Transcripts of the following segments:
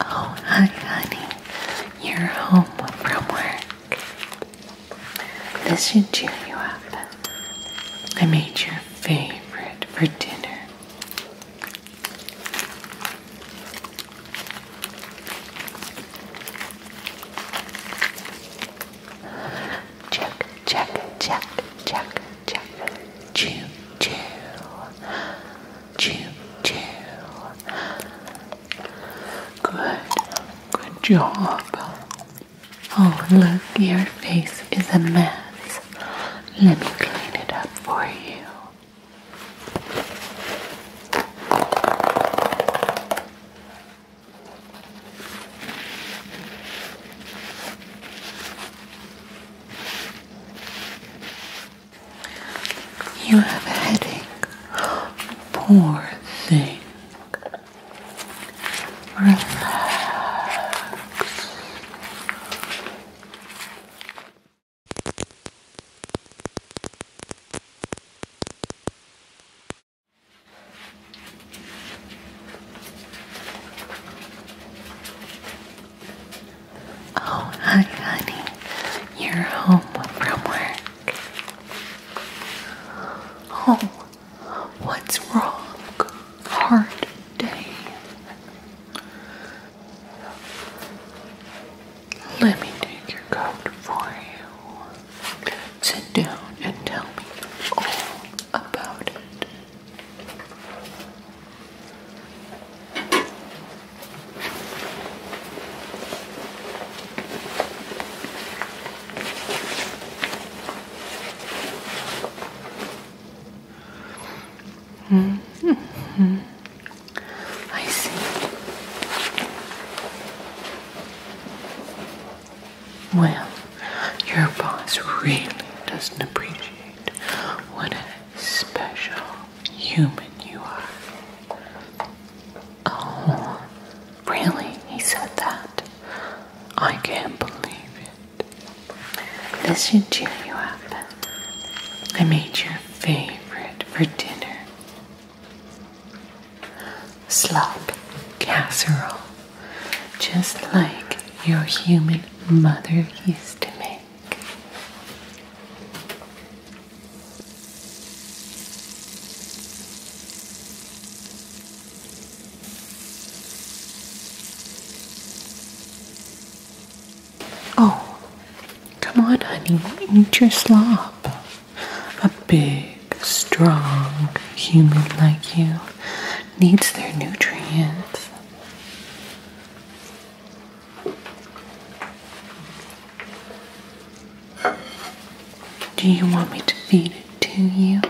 Oh, hi, honey. You're home from work. This should cheer you up. I made your favorite for dinner. Check, check, check, check, check. Chew, chew chill, chill. Good, good job. Oh, look, your face is a mess. Let me clean it up for you. You have a headache. Poor thing. Relax. Oh, hi, honey. You're home from work. Oh, what's wrong? Hard day. Let me take your coat for you. Sit down and tell me all about it. -hmm. I see. Well, your boss really doesn't appreciate what special human you are. Oh, really? He said that? I can't believe it. This should you up. I made your favorite for dinner slop casserole, just like your human mother used to make. Oh, come on, honey, Need your slop. A big, strong human like you needs their nutrients. Do you want me to feed it to you?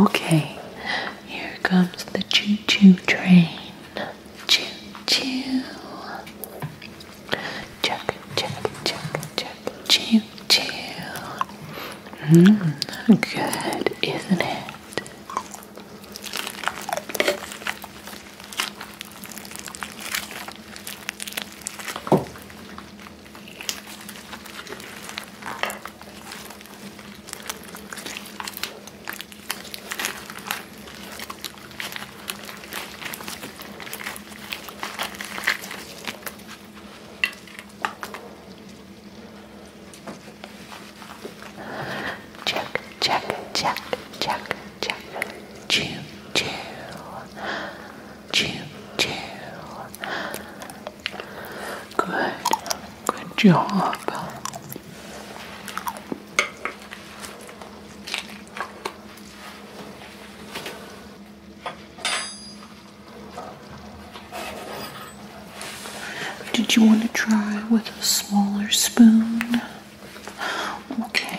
Okay, here comes the choo choo train. Choo choo. Chuck, chuck, chuck, chuck, choo choo. Mmm, good, isn't it? Check, check, check, check, check. Chew, chew. Chew, chew. Good Good job. Did you want to try with a smaller spoon? Okay.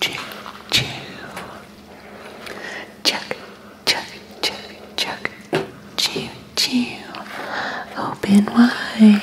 check, check, check, check, check, check, chew, chew, open wide.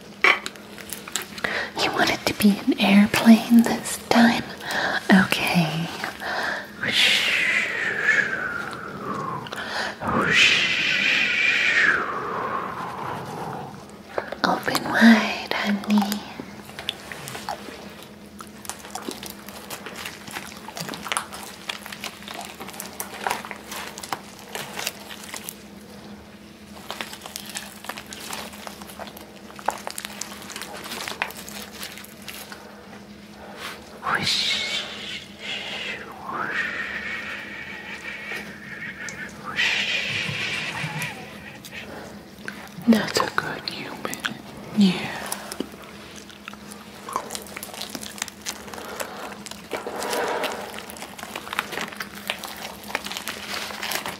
You want it to be an airplane this time? Okay. Open wide, honey. Whoosh, whoosh, whoosh. That's a good human. Yeah.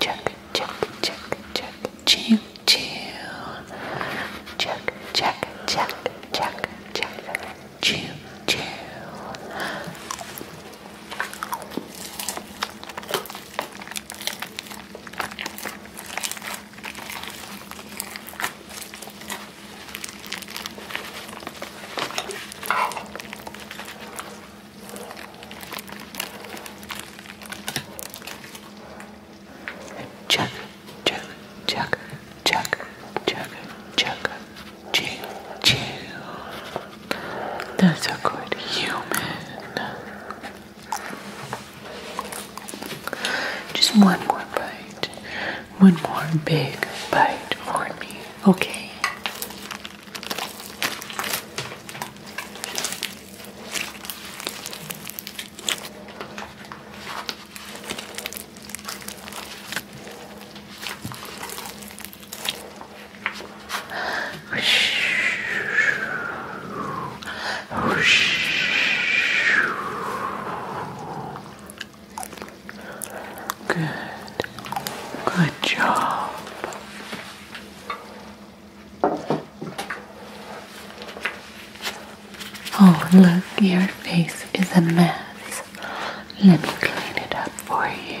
Check, check, check, check, chill, chill. Check, check, check, check, check, chill, chill. Check, check, check, check, check, check, chill, chill. That's a good human. Just one more bite one more big bite for me, okay? Good. Good job. Oh, look, your face is a mess. Let me clean it up for you.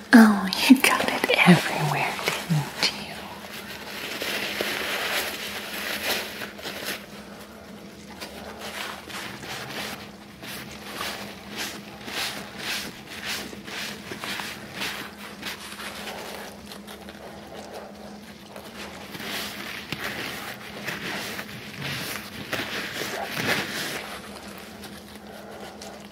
Oh, you got it everywhere, didn't you?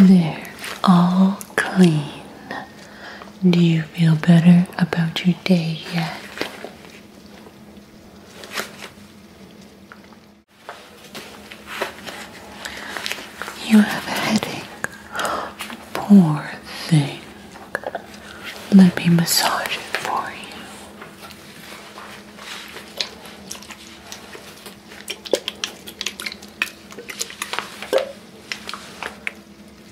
They're all clean. Do you feel better about your day yet? You have a headache. Poor thing. Let me massage it for you.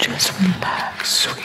Just relax, sweetie.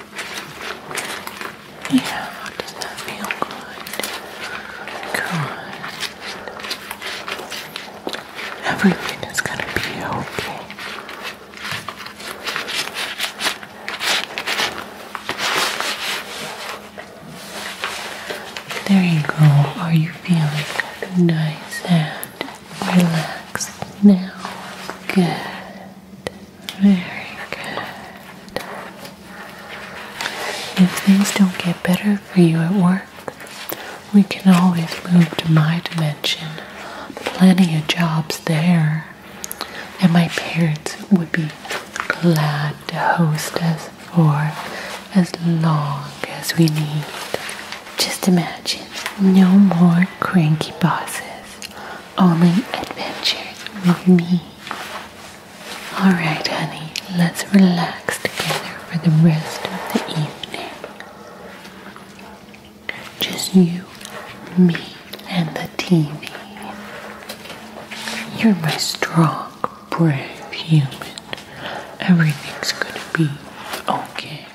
Yeah, does that feel good? Good. Everything is going to be okay. There you go. Are you feeling nice and relaxed now? Good. Very good. If things don't get better for you at work, we can always move to my dimension. Plenty of jobs there. And my parents would be glad to host us for as long as we need. Just imagine no more cranky bosses, only adventures with me. Alright, honey, let's relax together for the rest of the evening. Just you, me, and the TV. You're my strong, brave human. Everything's gonna be okay.